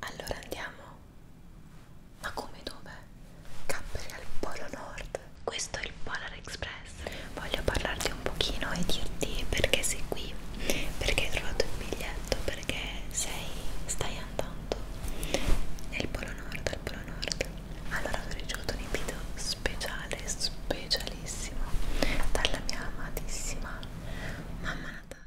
Allora andiamo. Ma come dove? Capperi al Polo Nord. Questo è il Polar Express. Voglio parlarti un pochino e dirti perché sei qui, perché hai trovato il biglietto, per perché sei, stai andando nel polo nord, al polo nord allora ho ricevuto un invito speciale, specialissimo dalla mia amatissima mamma Natale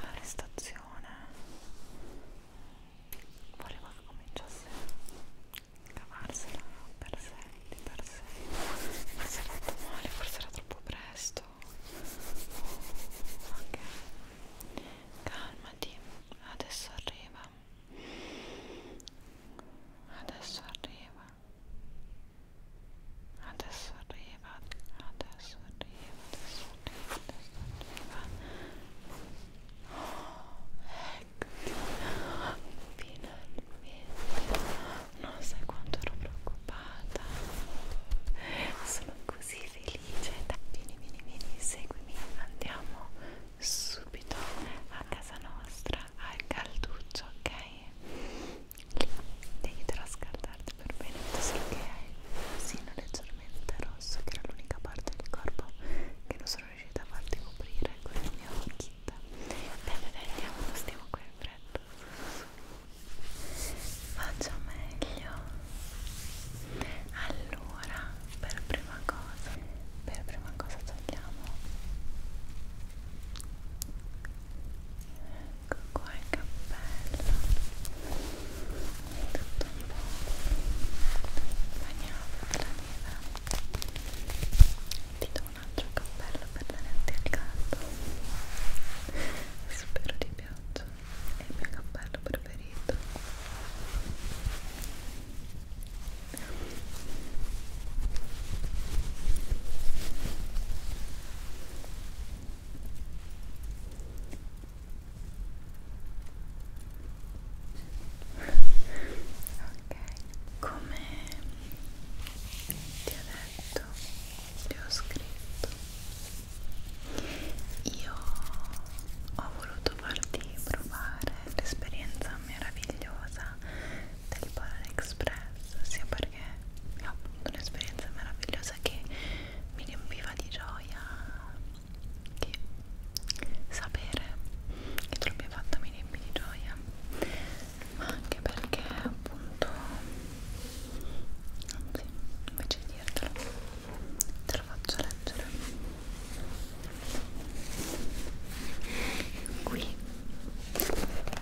L'arrestazione voleva che cominciasse a cavarsela per sé, di per sé. Forse era fatto male, forse era troppo presto. Ok, calmati, adesso arriva. Adesso arriva adesso arriva adesso arriva adesso arriva adesso arriva oh, eccoti finalmente non sai quanto ero preoccupata sono così felice Dai, vieni vieni vieni seguimi andiamo subito a casa nostra al calduccio ok ti aiuterà a scaldarti per bene vedo solo che hai il sino leggermente rosso che era l'unica parte del corpo che non sono riuscita a farti coprire con il mio kit dai dai dai andiamo, non stiamo qui in fretta faccio meglio allora per prima cosa per prima cosa togliamo ecco qua il cappello è tutto un po' bagnato dalla neve ti do un altro cappello per tenerti al caldo spero ti piaccia è il mio cappello preferito Ok, come ti ho detto, ti ho scritto, io ho voluto farti provare l'esperienza meravigliosa del Polar Express sia per perché abbiamo avuto un'esperienza meravigliosa che mi riempiva di gioia che sapere che tu l'abbia fatto mi riempie di gioia ma anche perché appunto anzi invece di dirtelo te lo faccio leggere qui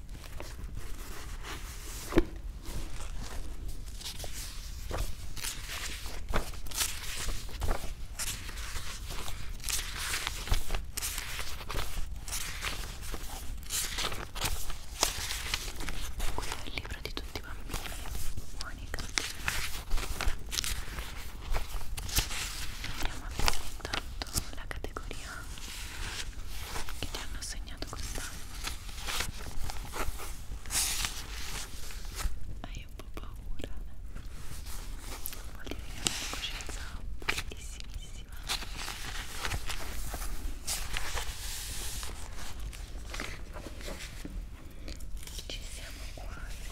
qui è il libro di tutti i bambini Monica andiamo a vedere intanto la categoria materia che ti hanno assegnato quest'anno hai un po' paura vuol dire che hai una coscienza pulitissimissima ci siamo quasi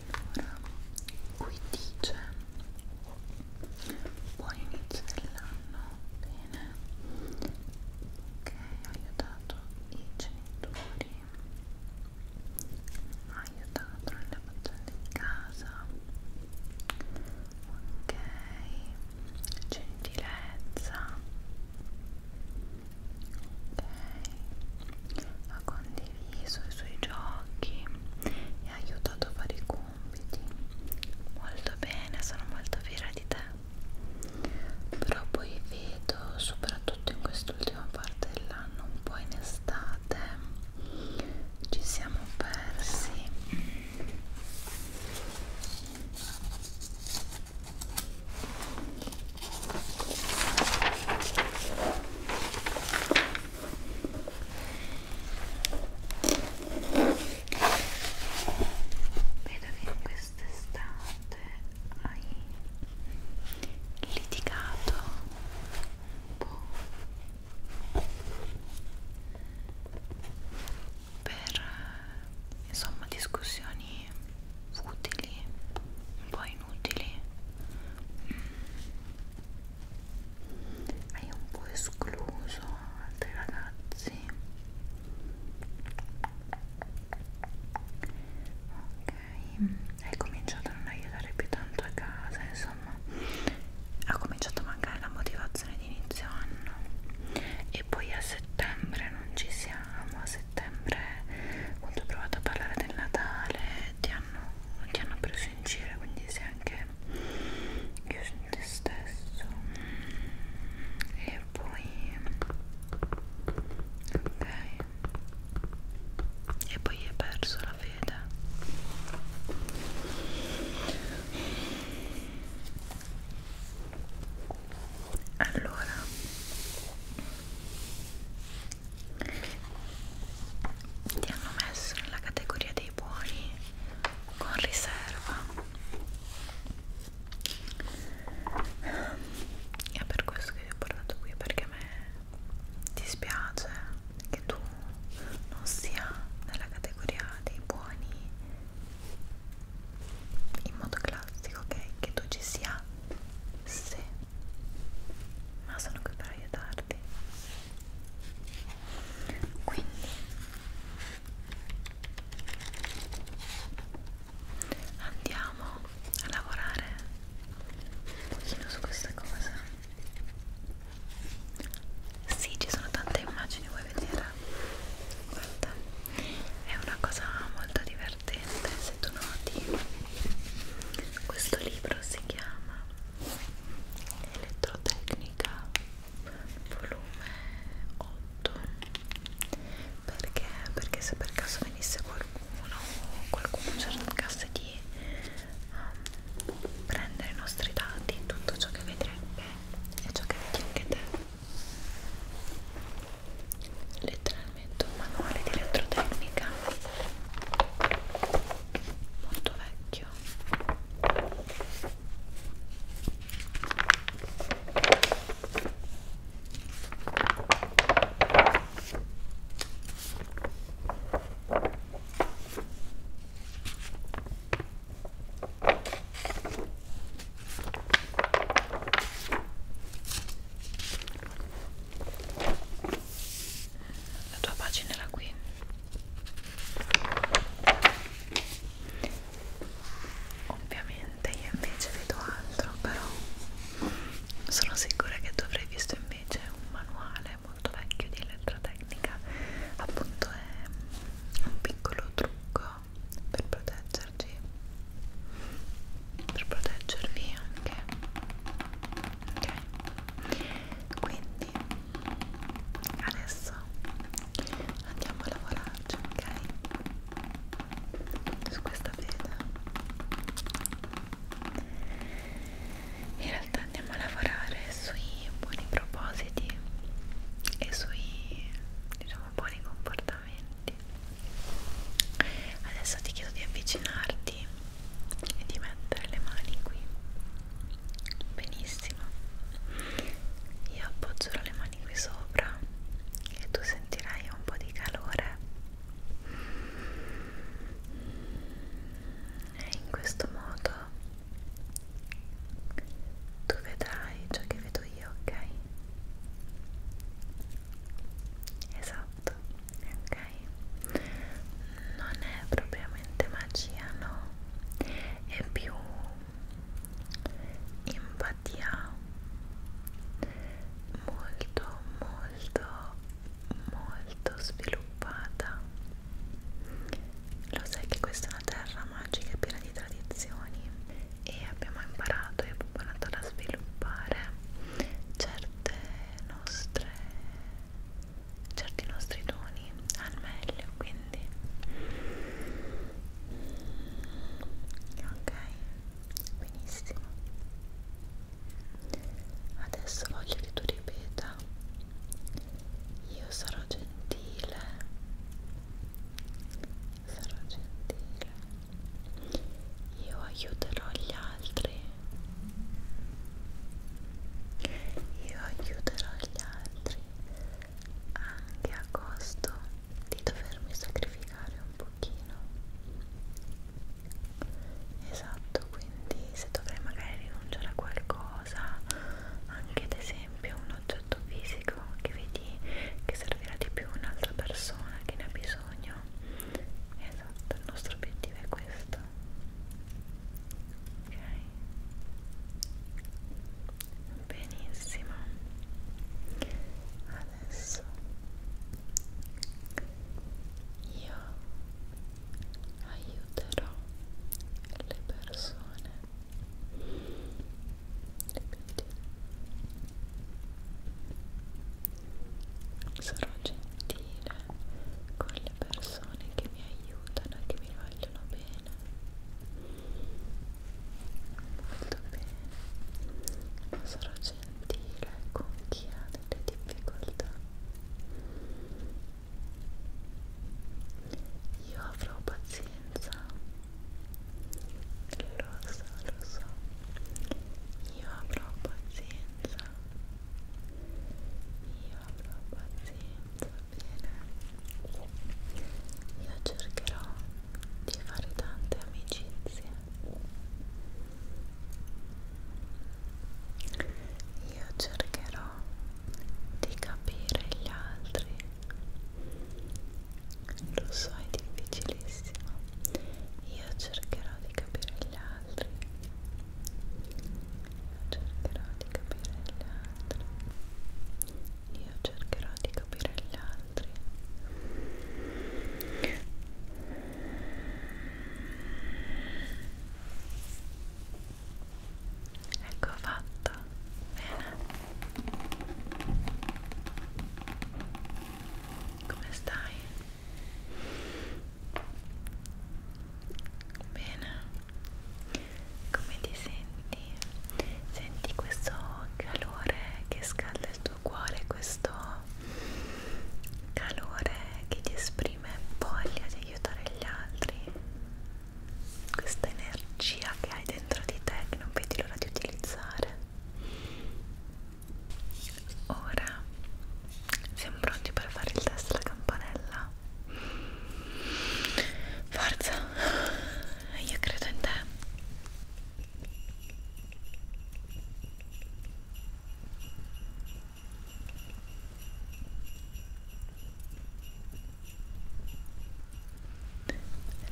Allora, qui dice buon inizio dell'anno, bene, ok, ha aiutato i genitori, ha aiutato nelle faccende di casa, ok, gentilezza ok ha condiviso i suoi giochi e ha aiutato a fare i compiti molto bene sono molto fiera di te però poi vedo soprattutto in quest'ultima parte dell'anno un po' in estate ci siamo persi Vedo che in quest'estate hai litigato un po' per insomma discussioni utili, un po' inutili mm. hai un po' escluso altri ragazzi ok hai cominciato a non aiutare più tanto a casa insomma ha cominciato a mancare la motivazione di inizio anno e poi a settembre non ci siamo a settembre quando ho provato a parlare del Natale ti hanno, ti hanno preso in giro quindi se anche io sono te stesso e poi ok e poi hai perso la fede allora ti hanno messo nella categoria dei buoni con riserva è per questo che ti ho portato qui perché a me dispiace che tu non sia nella categoria dei buoni in modo classico ok che tu ci sia se ma sono qui per aiutarti quindi andiamo a lavorare un pochino su questa cosa sì ci sono tante immagini vuoi vedere guarda è una cosa molto divertente divertente se tu noti questo libro si chiama Elettrotecnica volume 8 perché? perché se per caso venisse qualcuno o qualcuno cercasse di um, prendere i nostri dati tutto ciò che vedrebbe è ciò che vedi anche te le tre finalmente un manuale di elettrotecnica molto vecchio la tua pagina era qui ovviamente io invece vedo altro però sono sicura che tu avrai visto invece un manuale molto vecchio di elettrotecnica appunto è un piccolo trucco per proteggerci per proteggervi anche ok quindi adesso andiamo a lavorarci ok su questa fede in realtà andiamo a lavorare sui buoni propositi e sui diciamo buoni comportamenti Adesso ti chiedo di avvicinarti e di mettere le mani qui. Benissimo. Io appoggerò le mani qui sopra e tu sentirai un po' di calore. E in questo modo tu vedrai ciò che vedo io, ok? Esatto fatto ok non è propriamente magia no è più empatia molto molto molto sviluppata lo sai che questa è una terra magica piena di tradizioni e abbiamo imparato e abbiamo imparato a sviluppare certe nostre certi nostri toni al meglio quindi ok benissimo adesso voglio che tu ripeta io sarò gentile sarò gentile io aiuterò gli altri io aiuterò gli altri anche a costo di dovermi sacrificare un pochino esatto quindi se dovrei magari rinunciare a qualcosa anche ad esempio un oggetto fisico che vedi che servirà di più un'altra persona che ne ha bisogno esatto il nostro obiettivo è questo ok benissimo adesso io aiuterò le persone le sarò gentile con le persone che mi aiutano e che mi vogliono bene molto bene sarò gentile con chi ha delle difficoltà io avrò pazienza lo so, lo so io avrò pazienza io avrò pazienza, bene io cercherò di fare tante amicizie io cercherò di capire gli altri lo so è difficilissimo io cercherò di capire gli altri io cercherò di capire gli altri io cercherò di capire gli altri ecco fatto bene come stai? Bene, come ti senti? Senti questo calore che scalda il tuo cuore, questo calore che ti esprime voglia di aiutare gli altri, questa energia che hai dentro di te che non vedi l'ora di utilizzare. Ora siamo pronti per fare il test della campanella. Forza, io credo in te.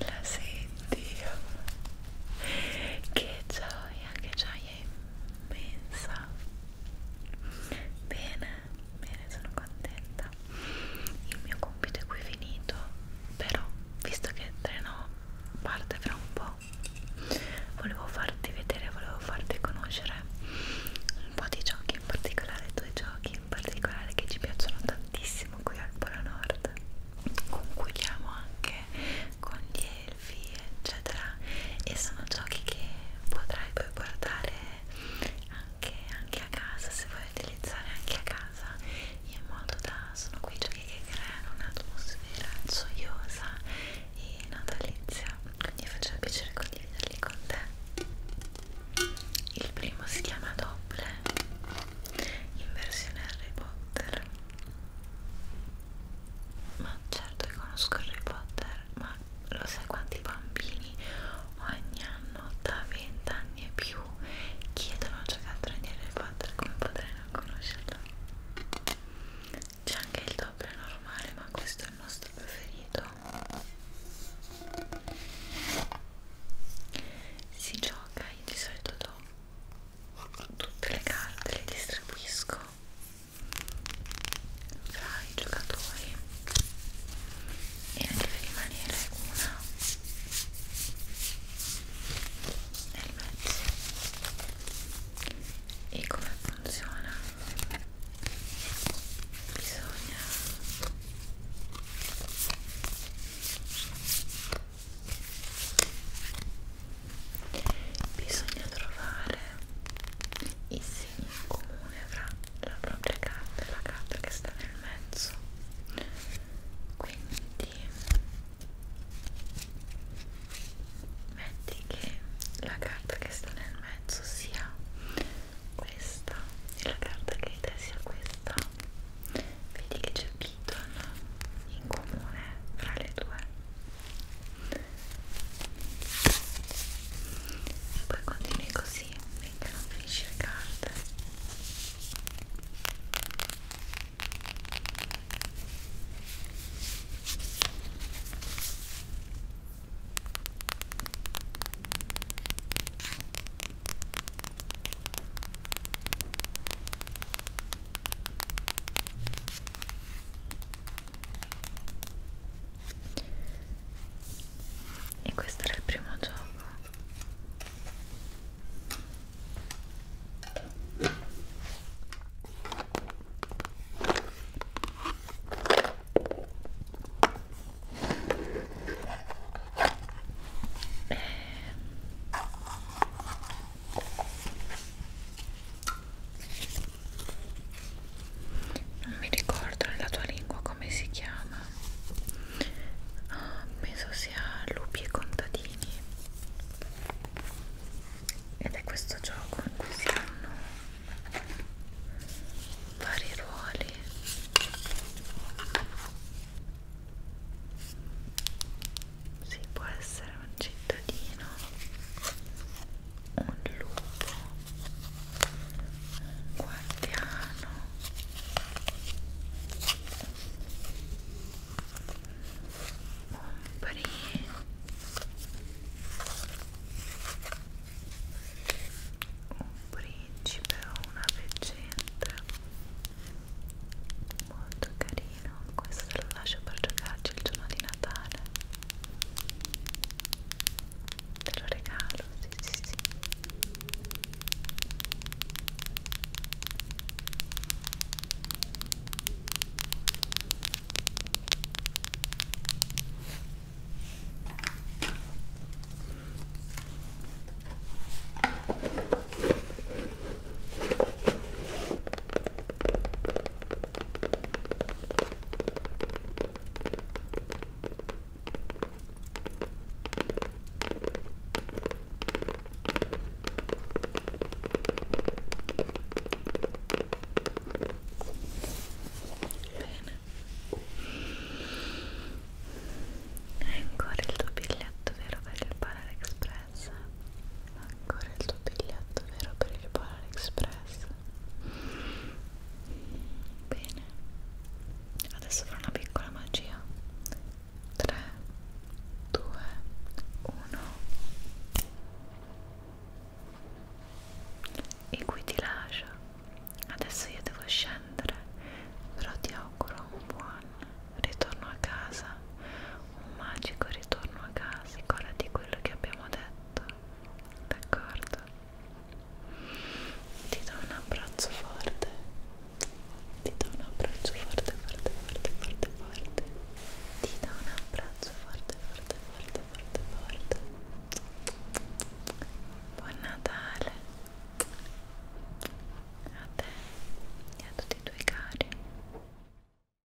La senti? Che gioia, che gioia è immensa bene, bene, sono contenta il mio compito è qui finito però visto che il treno parte fra un po' volevo farti vedere, volevo farti conoscere un po' di giochi in particolare due giochi in particolare che ci piacciono tantissimo qui al Polo Nord conquigliamo anche con gli selfie eccetera e sono giochi che potrai poi portare anche, anche a casa se vuoi utilizzare anche a casa in modo da sono quei giochi che creano un'atmosfera gioiosa e natalizia quindi faccio il piacere condividerli con te il primo si chiama Doble in versione Harry Potter ma certo che conosco Harry Potter ma lo sai quanti bambini ogni anno da 20 anni e più chiedono giocattoli di Harry Potter come potrei non conoscerlo c'è anche il doppio normale ma questo è il nostro preferito si gioca io di solito do tutte le carte le distribuisco fra i giocatori e ne deve rimanere una nel mezzo e come funziona? bisogna bisogna trovare i segni in comune fra la propria carta e la carta che sta nel mezzo quindi metti che la carta che sta nel mezzo sia questa e la carta che hai te sia questa vedi che c'è Beaton in comune fra le due e poi continui così finché non finisci le carte ok e questo era il primo gioco eh, non mi ricordo nella tua lingua come si chiama ah, penso sia lupi e contadini ed è questo gioco in cui si hanno vari ruoli si può essere un cittadino un lupo un guardiano un pri un principe o una leggenda molto carina carino questo lo lascio per giocarci il giorno di Natale te lo regalo sì sì sì Bene. Hai ancora il tuo biglietto vero per il Parare Express? Express ancora il tuo biglietto vero per il Polar Express bene adesso farò una piccola magia 3 2 1 e qui ti lascio adesso io devo scendere però ti auguro un buon ritorno a casa un magico ritorno a casa ancora di quello che abbiamo detto d'accordo ti do un abbraccio forte ti do un abbraccio forte forte forte forte forte ti do un abbraccio forte forte forte forte forte buon Natale a te e a tutti i tuoi cari